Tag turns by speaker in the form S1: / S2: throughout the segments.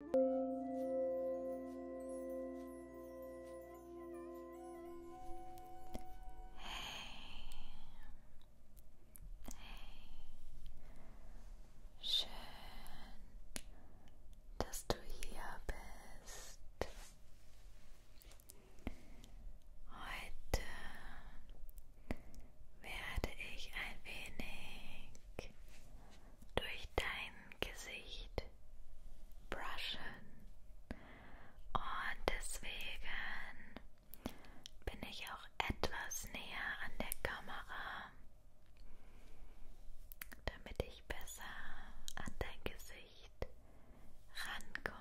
S1: Hey. Schön, dass du hier bist. Heute werde ich ein wenig durch dein Gesicht brushen. Und deswegen bin ich auch etwas näher an der Kamera, damit ich besser an dein Gesicht rankomme.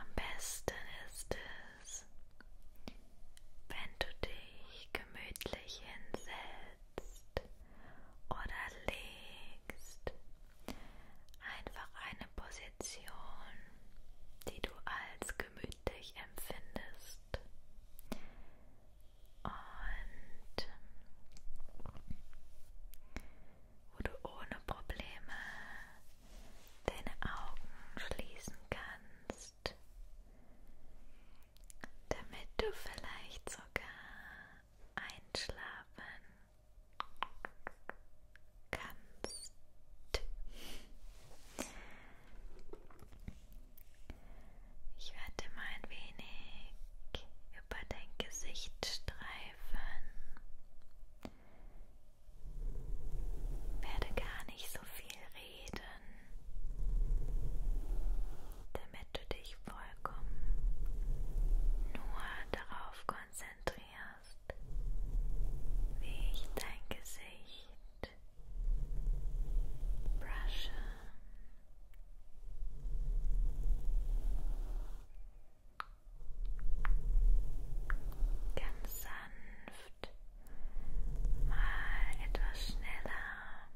S1: Am besten ist es, wenn du dich gemütlich hinsetzt oder legst, einfach eine Position, die du als gemütlich empfindest. Und wo du ohne Probleme deine Augen schließen kannst, damit du vielleicht sogar einschlafen kannst. Ich werde mal ein wenig über dein Gesicht streifen werde gar nicht so viel reden, damit du dich vollkommen nur darauf konzentrierst, wie ich dein Gesicht brushe. Ganz sanft sanft, mal etwas schneller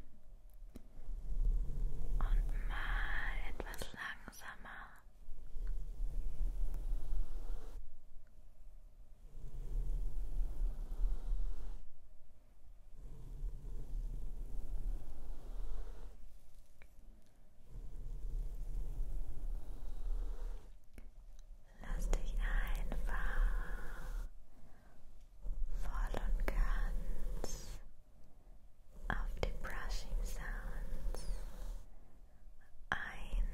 S1: und mal etwas langsamer. Lass dich einfach voll und ganz auf die Brushing Sounds ein.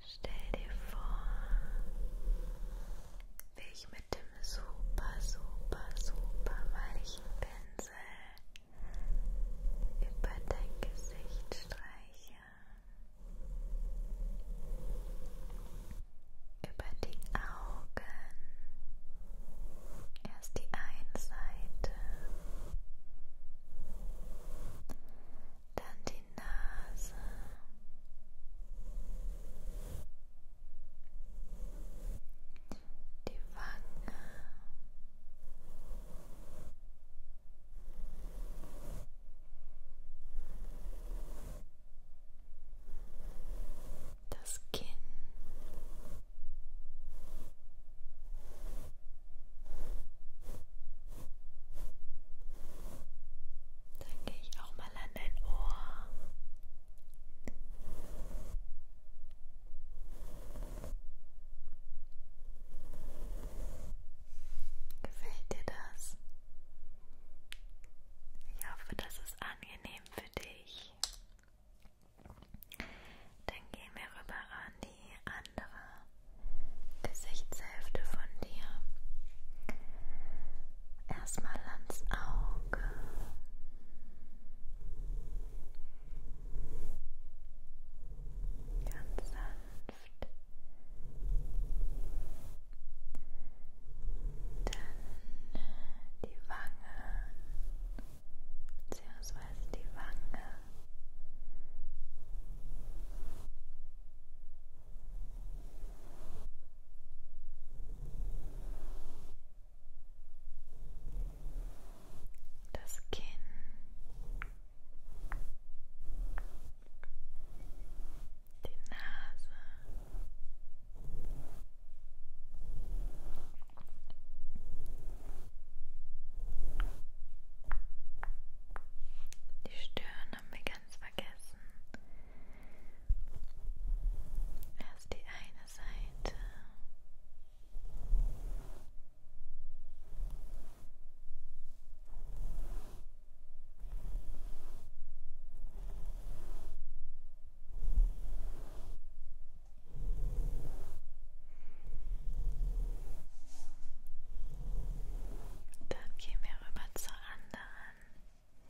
S1: Stell dir vor, wie ich mit dem super, super, super weichen Pinsel über dein Gesicht streiche, über die Augen, erst die eine Seite, dann die Nase die Wange. Das Kinn. Dann gehe ich auch mal an dein Ohr. Gefällt dir das? Ich hoffe, das ist angenehm für dich. Dann gehen wir rüber an die andere Gesichtshälfte von dir. Erstmal ans Auge. Ganz sanft. Dann die Wange, beziehungsweise die Wange. Und das Kinn, die Nase, die Stirn haben wir ganz vergessen. Erst die eine Seite. Dann gehen wir rüber zur anderen.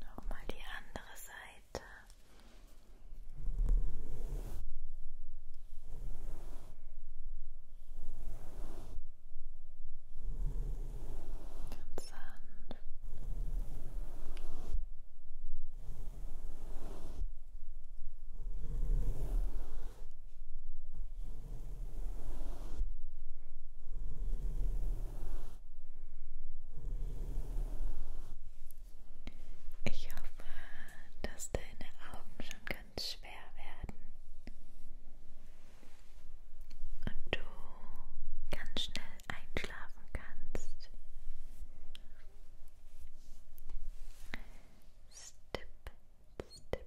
S1: Nochmal die andere Seite. Ganz sanft. Und ich hoffe, dass deine Augen schon ganz schwer werden und du ganz schnell einschlafen kannst. Step, step,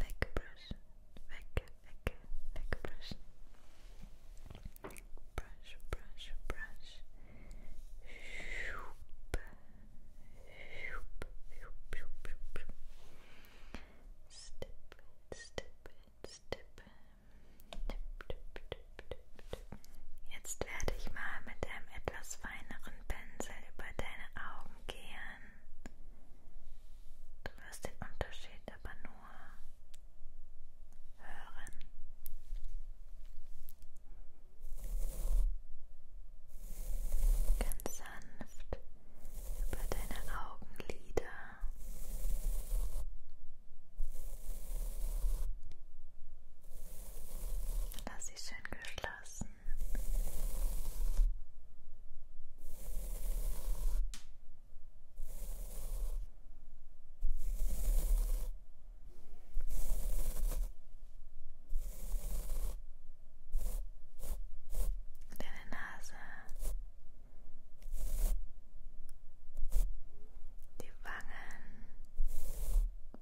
S1: Wegbrushen, weg, weg, wegbrushen. Brush, brush, brush. Schup, schup, schup, schup, schup. Stip, stip, stip. Tip, tip, tip, tip, tip. Jetzt werde ich mal mit einem etwas feineren Pinsel über deine Augen Augen gehen. Du wirst den Unterschied aber nur hören. Ganz sanft über deine Augenlider. Lass sie schön geschlossen. Deine Nase, die Wangen,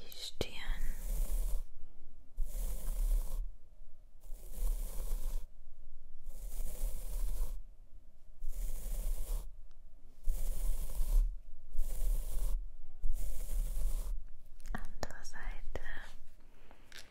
S1: die Stirn. Andere Seite. Schön.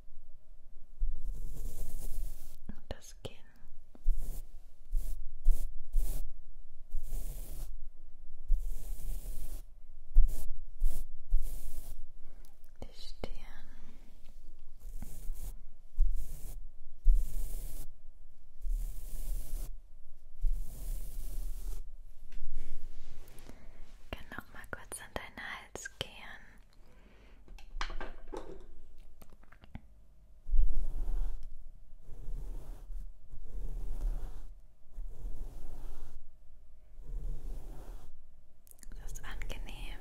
S1: Und das Kinn. Die Stirn. Ich kann noch mal kurz an deinen Hals gehen. Das ist angenehm.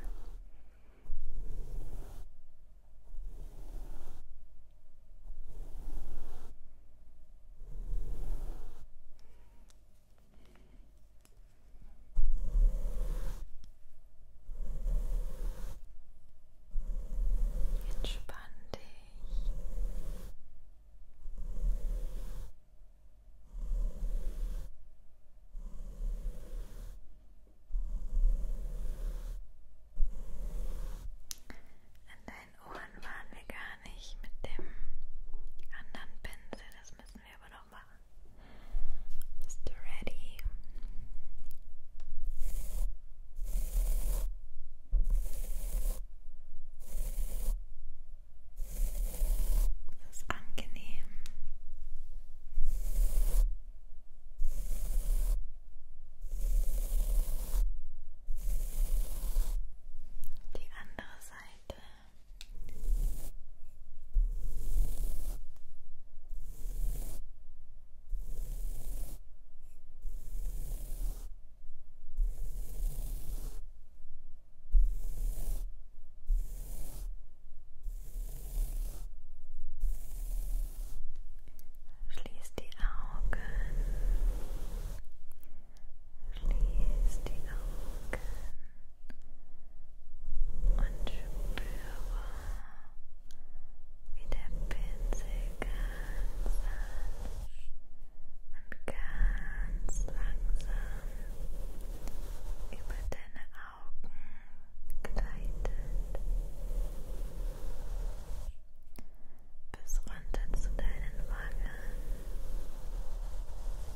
S1: Entspann dich. An deinen Ohren waren wir gar nicht mit dem anderen Pinsel, das müssen müssen wir aber noch machen. Bist du ready? Das ist angenehm. Die andere Seite. Schließ die Augen. Schließ die Augen und spüre, wie der Pinsel ganz sanft und ganz langsam über deine Augen gleitet bis runter zu deinen Wangen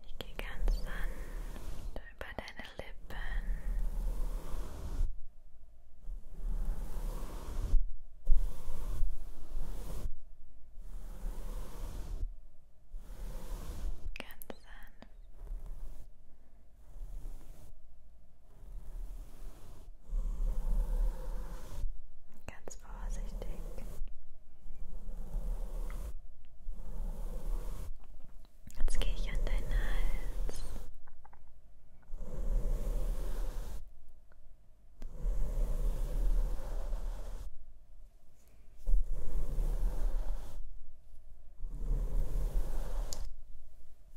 S1: Ich gehe ganz sanft über deine Lippen. Ganz sanft. Ganz vorsichtig. Jetzt gehe ich an deinen Hals.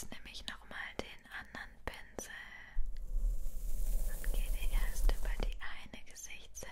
S1: Jetzt nehme ich nochmal den anderen Pinsel und gehe erst über die eine Gesichtsseite.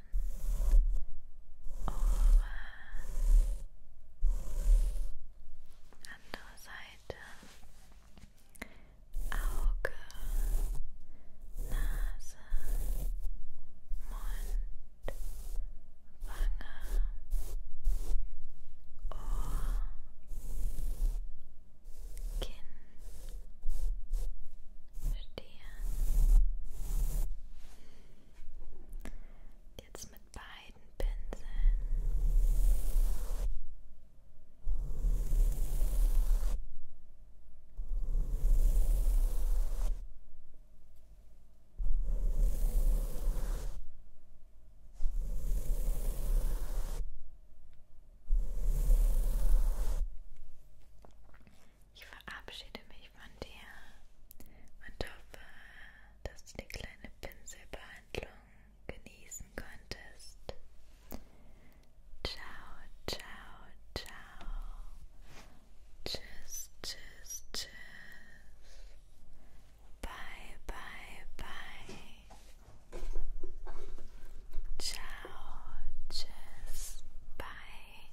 S1: over andere Seite Auge, Nase, Mund, Wange, Ohr, Kinn, Stirn, dir. Jetzt mit beiden Pinseln. Ich verabschiede mich von dir und hoffe, dass du die kleine Pinselbehandlung genießen konntest. Ciao, ciao, ciao. Tschüss, tschüss, tschüss. Bye, bye, bye. Ciao, tschüss, bye.